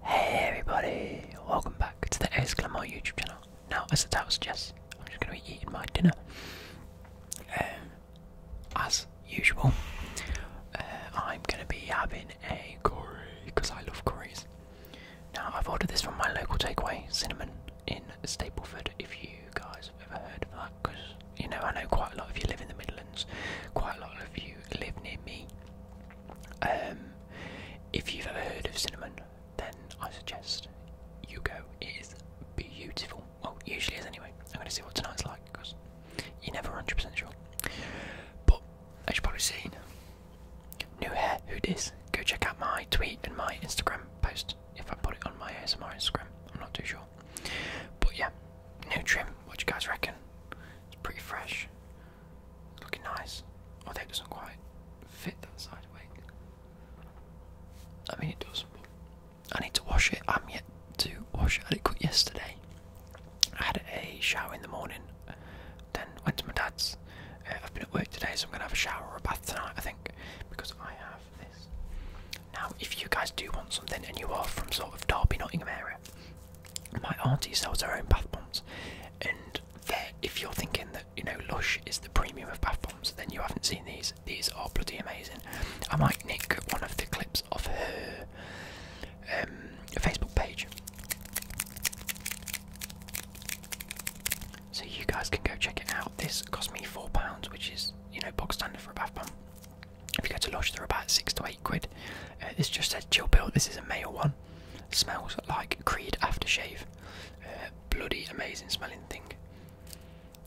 Hey everybody, welcome back to the Exclamore YouTube channel. Now, as the title suggests, I'm just going to be eating my dinner. Um, as usual, uh, I'm going to be having a curry because I love curries. Now, I've ordered this from my local takeaway, Cinnamon, in Stapleford. If you guys have ever heard of that, because you know I know quite a lot of you live in the Midlands, quite a lot of you live near me. Um, if you've ever heard of cinnamon, then I suggest you go. It is beautiful. Well, usually is anyway. I'm going to see what tonight's like because you're never 100% sure. But as you probably seen, new hair, who this? Go check out my tweet and my Instagram post if I put it on my ASMR Instagram. I'm not too sure. But yeah, new trim. What you guys reckon? It's pretty fresh looking nice. Although it doesn't quite fit that side wing. I mean, it does. I need to wash it. I'm yet to wash it. I yesterday. I had a shower in the morning, then went to my dad's. Uh, I've been at work today, so I'm going to have a shower or a bath tonight, I think, because I have this. Now, if you guys do want something and you are from sort of Derby, Nottingham area, my auntie sells her own bath bombs, and if you're thinking that you know Lush is the premium of bath bombs, then you haven't seen these. These are bloody amazing. I might nick one of the clips of her um, Facebook page, so you guys can go check it out. This cost me four pounds, which is you know box standard for a bath bomb. If you go to Lodge, they're about six to eight quid. Uh, this just says chill Pill. This is a male one. Smells like Creed aftershave. Uh, bloody amazing smelling thing.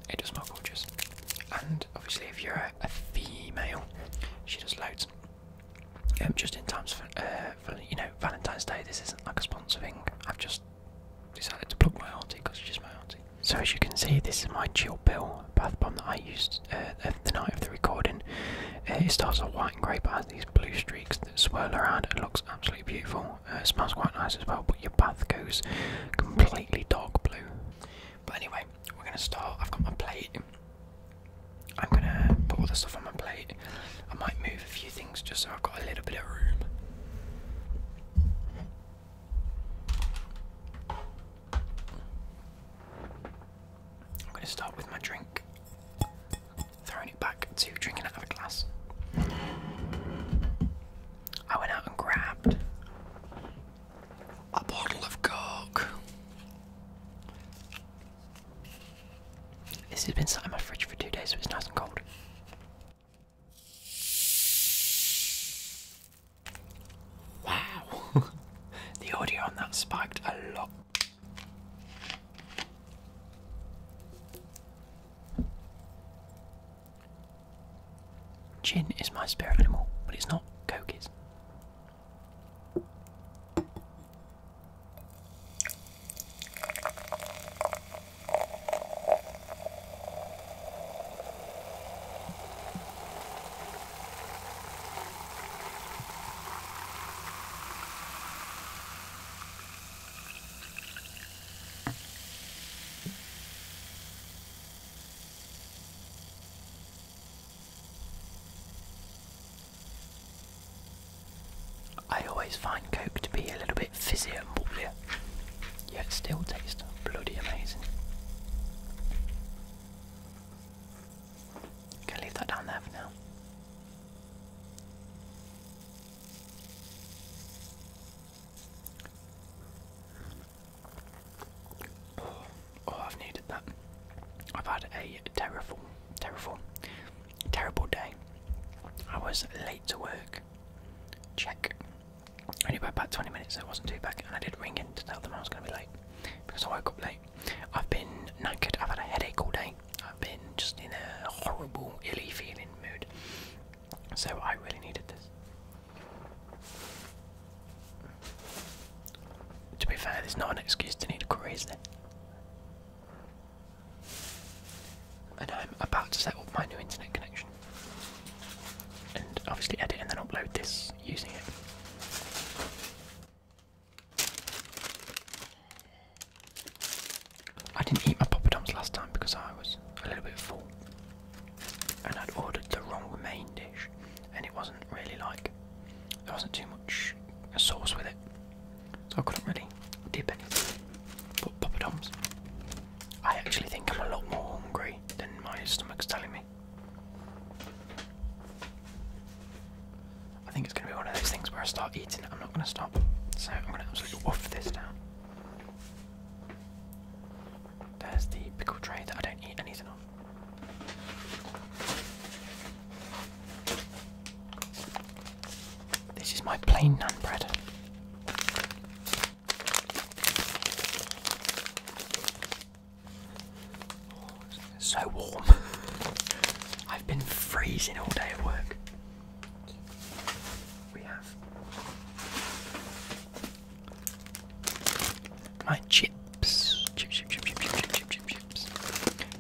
It does smell gorgeous. And obviously, if you're a, female, she does loads. Um, just in times uh, for, you know Valentine's Day, this isn't like a sponsor thing. I've just decided to plug my auntie because she's my auntie. So as you can see, this is my chill Pill bath bomb that I used uh, the night of the recording. Uh, it starts off white and grey but has these blue streaks that swirl around. It looks absolutely beautiful. Uh, it smells quite nice as well, but your bath goes completely dark blue. But anyway, we're going to start. I've got my plate. I'm going to put all the stuff on my plate. I might move a few things just so I've got a little bit of room. I'm going to start with my drink, throwing it back to drinking out glass. I went out and grabbed a bottle of Coke. This has been sat in my fridge for two days, so it's nice and cold. Wow, the audio on that spiked a lot. Jin is my spirit animal, but it's not Coke is. I always find Coke to be a little bit fizzy and bubbly, yet still tastes bloody amazing i leave that down there for now. Oh, oh I've needed that. I've had a terrible, terrible, terrible day. I was late to work. Check. Only by about 20 minutes, I wasn't too bad. And I did ring in to tell them I was going to be late because I woke up late. I've been knackered, I've had a headache all day, I've been just in a horrible, illy feeling mood. So I really needed this. To be fair, there's not an excuse to need a curry, is there? And I'm about to set up my new internet connection. And obviously edit and then upload this using it. I didn't eat my Dom's last time because I was a little bit full and I'd ordered the wrong main dish and it wasn't really like there wasn't too much sauce with it so I couldn't really dip anything but Dom's, I actually think I'm a lot more hungry than my stomach's telling me I think it's going to be one of those things where I start eating it, I'm not going to stop. So I'm going to absolutely off this down. There's the pickle tray that I don't eat anything off. This is my plain naan bread. Oh, it's so warm. I've been freezing all day at work. We have my chips. Chips, chips, chips, chips, chips, chips, chips, chips.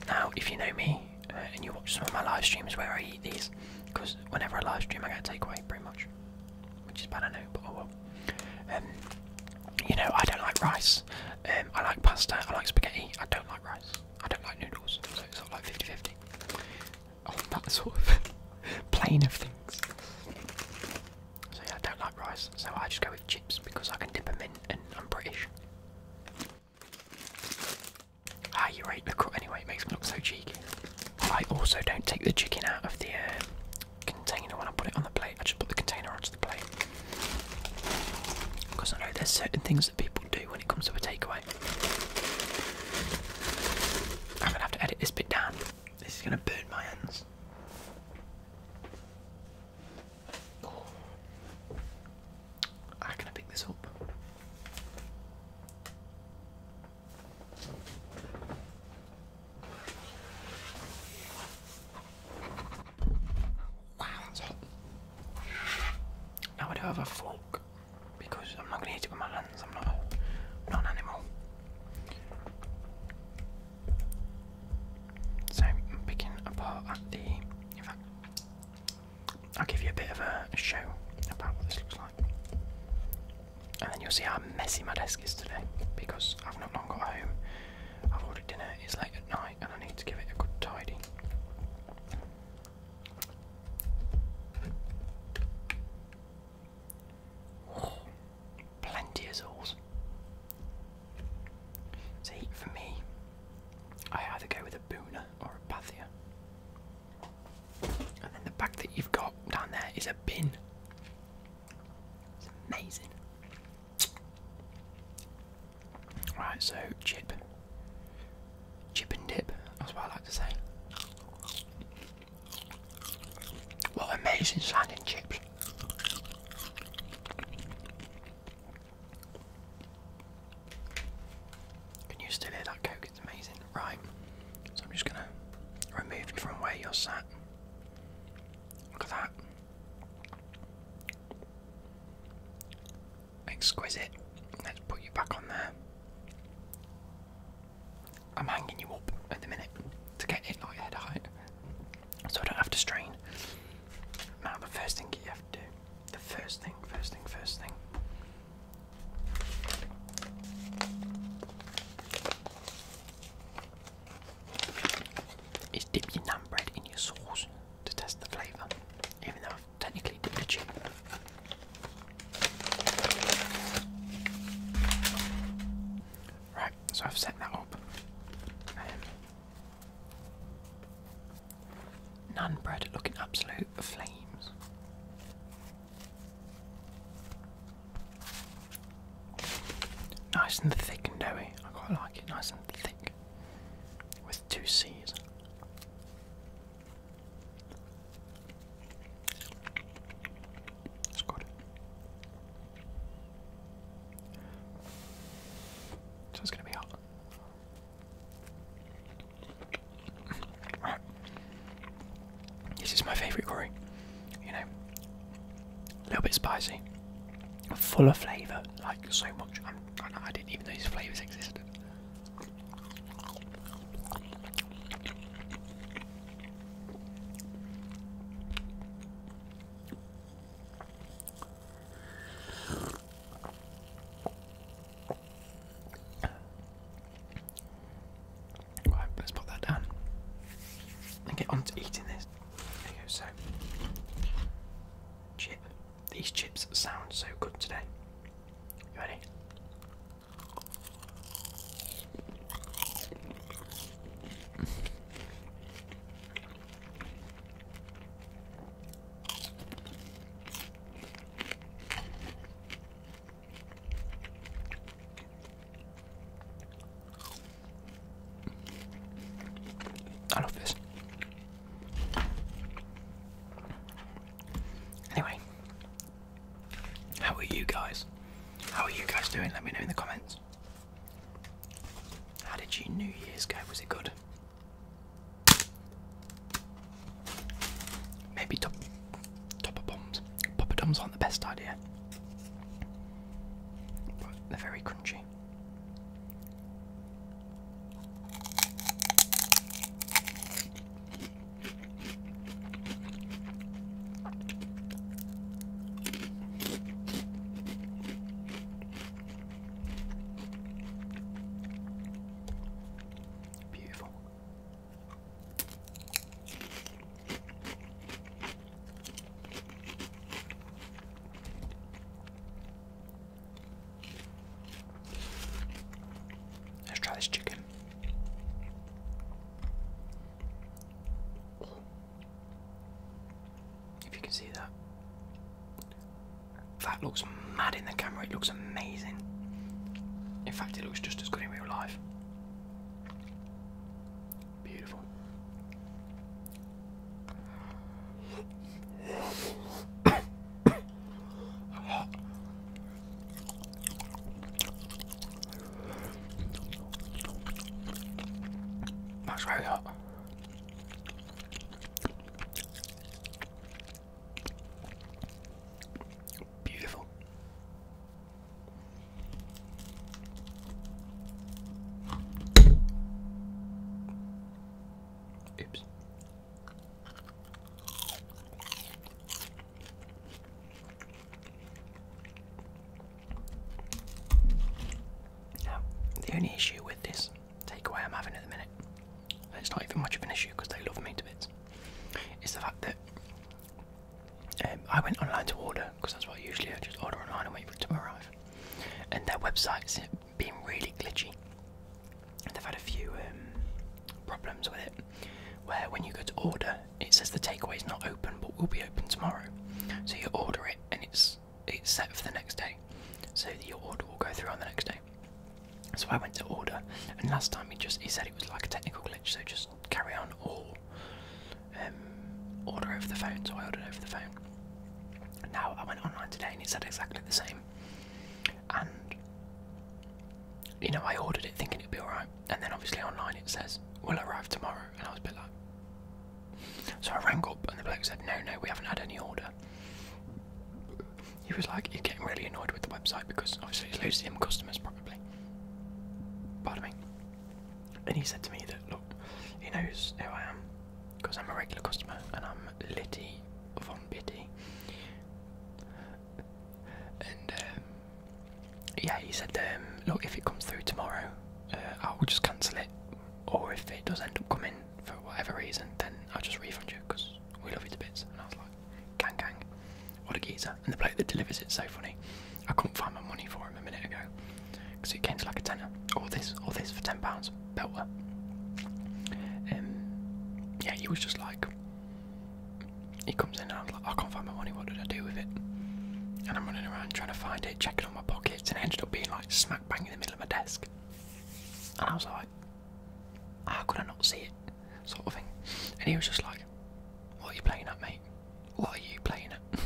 Now, if you know me uh, and you watch some of my live streams where I eat these, because whenever I live stream, I get a takeaway pretty much, which is bad, I know, but oh well. Um, you know, I don't like rice. Um, I like pasta. I like spaghetti. I don't like rice. I don't like noodles. So it's sort like 50-50 on that sort of plane of things. So yeah, I don't like rice. So I just go with chips because I can dip them in, and I'm British. Ah, you rate the anyway. It makes me look so cheeky. I also don't take the chicken out of the um, container when I put it on the plate. I just put the container onto the plate. Because I know there's certain things that people do when it comes to a takeaway. I'm gonna have to edit this bit down. This is gonna burn my hands. Oh. How can I pick this up? Wow, that's hot. Now I do have a fork because I'm not going to eat it with my hands. I'm not, not an So picking apart the. In fact, I'll give you a bit of a, a show about what this looks like. And then you'll see how messy my desk is today because I've not long got home I've ordered dinner, it's late at night, and I need to give it a good tidy. plenty of sauce. See, for me, I either go with a Boona or a Pathia. And then the bag that you've got down there is a bin. It's amazing. Right, so chip. Chip and dip, that's what I like to say. What amazing sounding chips. Can you still hear that coke? It's amazing. Right, so I'm just gonna remove you from where you're sat. Look at that. Exquisite. Let's put you back on there. I'm hanging you up at the minute to get it like head height so I don't have to strain. Now, the first thing you have to do, the first thing, first thing, first thing is dip your nan bread in your sauce to test the flavour, even though I've technically dipped the chip. Right, so I've set that up. Um, bread looking absolute flames. Nice and thick and doughy. I quite like it. Nice and thick. With two C's. It's good. So it's going to be hot. This is my favourite curry. You know, a little bit spicy, full of flavour, like so much. I'm, I did not even know these flavours existed. Right, let's put that down and get on to eating this so chip. These chips sound so good today. ready? I love this. Anyway, how are you guys? How are you guys doing? Let me know in the comments. How did you New Year's go? Was it good? Maybe top topper bombs. Popper bombs aren't the best idea they're very crunchy. Beautiful. Let's try this chicken. If you can see that. That looks mad in the camera, it looks amazing. In fact, it looks just as good in real life. Beautiful. That's really hot. Beautiful. Oops. Now, the only issue with this takeaway I'm having at the minute, it's not even much of an issue because they love me to bits, is the fact that um, I went online to order because that's why I usually I just order online and wait for it to arrive. And their website's been really glitchy. They've had a few um, problems with it, where when you go to order, it says the takeaway is not open, but will be open tomorrow. So you order it, and it's it's set for the next day, so your order will go through on the next day. So I went to order, and last time he just he said it was like a technical glitch, so just carry on or um, order over the phone. So I ordered over the phone. Now I went online today and it said exactly the same. And you know, I ordered it thinking it'd be alright, and then obviously online it says will arrive tomorrow, and I was a bit like. So I rang up and the bloke said, "No, no, we haven't had any order." He was like, "You're getting really annoyed with the website because obviously it's losing customers, probably." Pardon me and he said to me that look, he knows who I am because I'm a regular customer and I'm Litty von Bitty. And um, yeah, he said, um, look, if it comes through tomorrow, uh, I'll just cancel it, or if it does end up coming for whatever reason, then I'll just refund you because we love you to bits. And I was like, gang, gang, what a geezer and the bloke that delivers it's so funny. I couldn't find my money for him a minute ago because he came to like a tenner. Or this, or this for ten pounds, belter. Um, yeah, he was just like, he comes in and I'm like, I can't find my money. What did I do with it? And I'm running around trying to find it, checking all my pockets, and it ended up being like smack bang in the middle of my desk. And I was like, how could I not see it? Sort of thing. And he was just like, what are you playing at, mate? What are you playing it?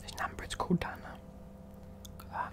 There's an amber—it's cooled Look at that.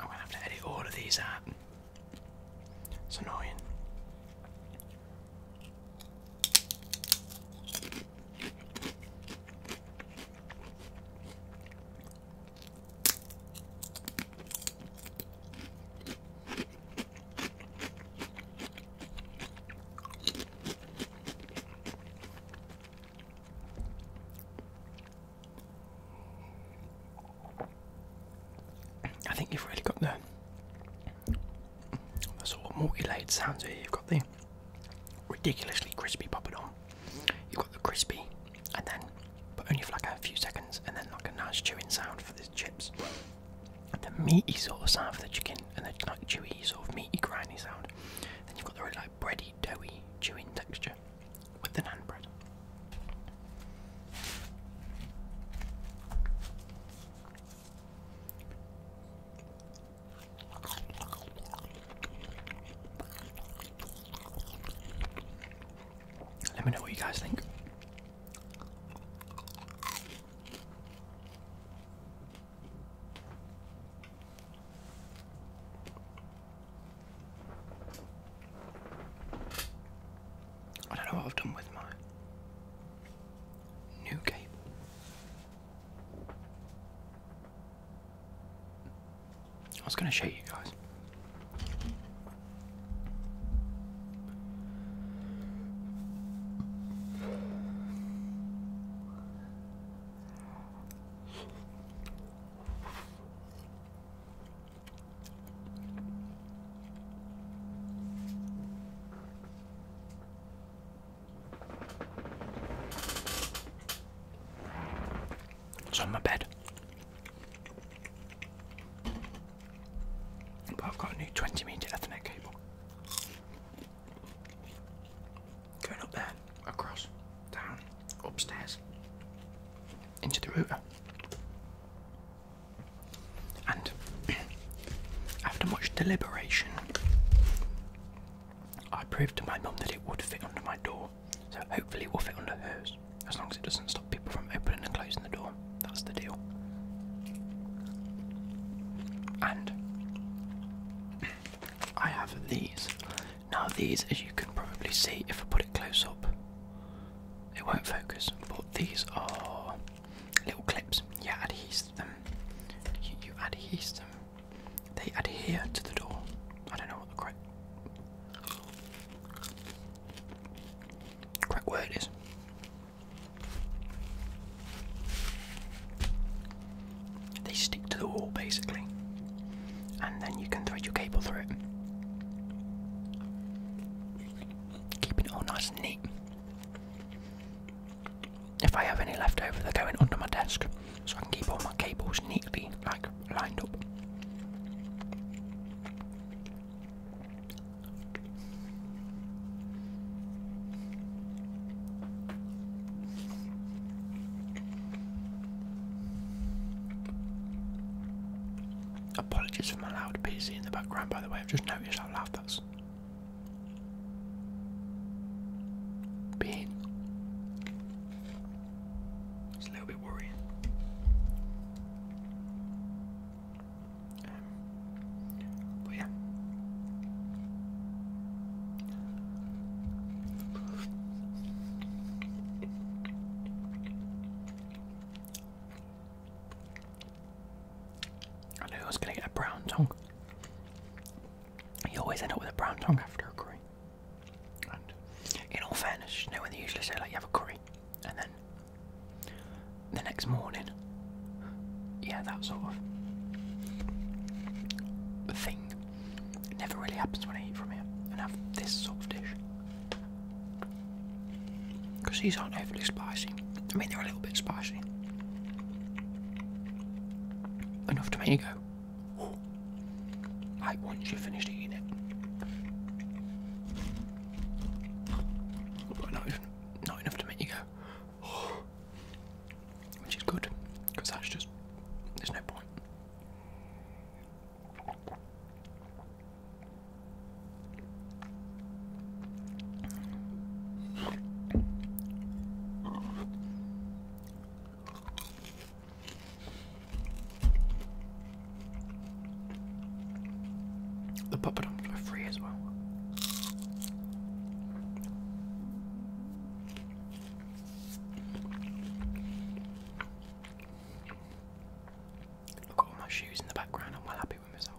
I'm gonna have to edit all of these out. It's annoying. I think you've really got the, sort of multi layered sounds here. You've got the ridiculously crispy poppadom, you've got the crispy and then, but only for like a few seconds, and then like a nice chewing sound for the chips. the meaty sort of sound for the chicken, and the like chewy sort of meaty grindy sound. Then you've got the really like bready, doughy, chewing texture with the naan bread. Let me know what you guys think. I don't know what I've done with my new cable. I was going to show you guys. It's on my bed. But I've got a new 20 meter Ethernet cable. Going up there, across, down, upstairs, into the router. And after much deliberation, I proved to my mum that it would fit under my door. So hopefully we'll fit under hers, as long as it doesn't stop people from opening and closing the door. That's the deal. And I have these. Now these, as you can probably see, if I put it close up, it won't focus. But these are little clips. You adhere them. You, adhere them. They adhere to the door. I don't know what the Correct word is. They stick to the wall basically, and then you can thread your cable through it. Keeping it all nice and neat. If I have any left over, they're going under my desk so I can keep all my cables neatly, like lined up. Apologies for my loud PC in the background, by the way. I've just noticed how loud that's being. It's a little bit worrying. Um, but yeah. I knew I was going to get a brown tongue. You always end up with a brown tongue after a curry in all fairness, you know when they usually say like you have a curry, and then the next morning, yeah, that sort of thing never really happens when I eat from here and have this sort of dish. Because these aren't overly spicy. I mean, they're a little bit spicy. Enough to tomato. Ooh. Like once you finish eating it. not, even, not enough to make you go, which is good, because that's just, there's no point. The poppadoms were free as well. I've got my shoes in the background, I'm well happy with myself.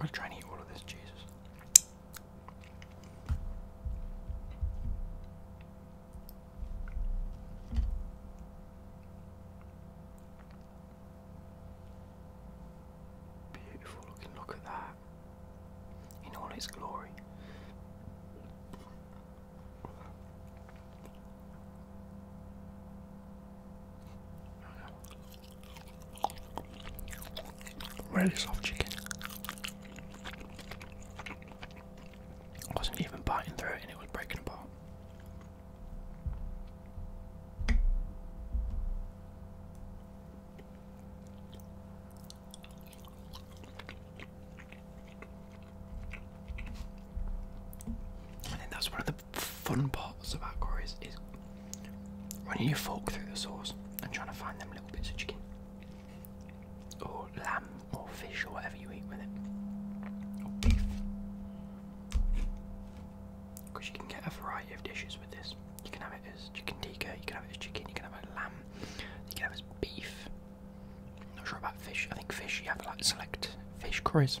I'm gonna try and eat all of this, Jesus. Beautiful looking, look at that in all its glory. Really soft chicken. wasn't even biting through it and it was breaking apart. I think that's one of the fun parts about Akor is, when you fork through the sauce and trying to find them little bits of chicken or lamb or fish or whatever you eat with it. Or beef. Because you can get a variety of dishes with this. You can have it as chicken tikka, you can have it as chicken, you can have it as lamb, you can have it as beef. i not sure about fish. I think fish you have like select fish Chris.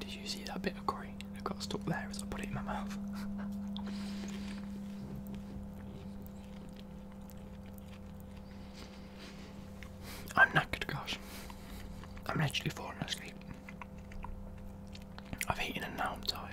Did you see that bit of choreography Sorry, I got stuck there as I put it in my mouth. I'm knackered, guys. I'm literally falling asleep. I've eaten and now I'm tired.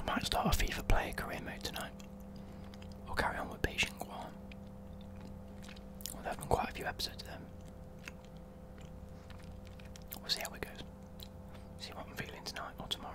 I might start a FIFA player career mode tonight. We'll carry on with Beijing Guan. there have been quite a few episodes of them. We'll see how it goes. See what I'm feeling tonight or tomorrow.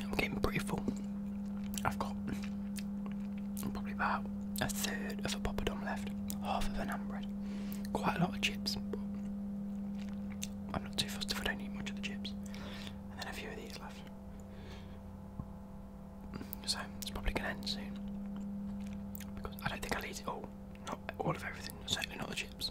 I'm getting pretty full. I've got probably about a third of a poppadom left, half of an ambra. Quite a lot of chips, but I'm not too fussed if I don't eat much of the chips. And then a few of these left. So it's probably gonna end soon. Because I don't think I'll eat it all. Not all of everything, certainly not the chips.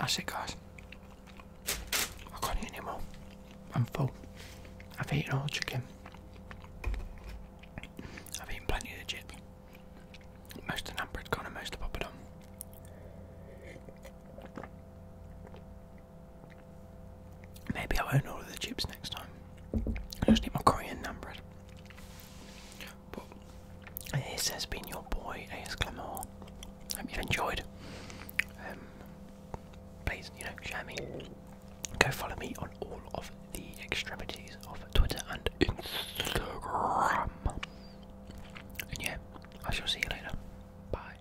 I it, guys. I can't eat anymore. I'm full. I've eaten all the chicken. I've eaten plenty of the chips. Most of the number had gone and most of the poppadom. Maybe I will own all of the chips next time. I just need my Korean number. But this has been your boy AS Glamour. Hope you've enjoyed. Um, please, you know, share me. Go follow me on all of the extremities of Twitter and Instagram. And yeah, I shall see you later. Bye.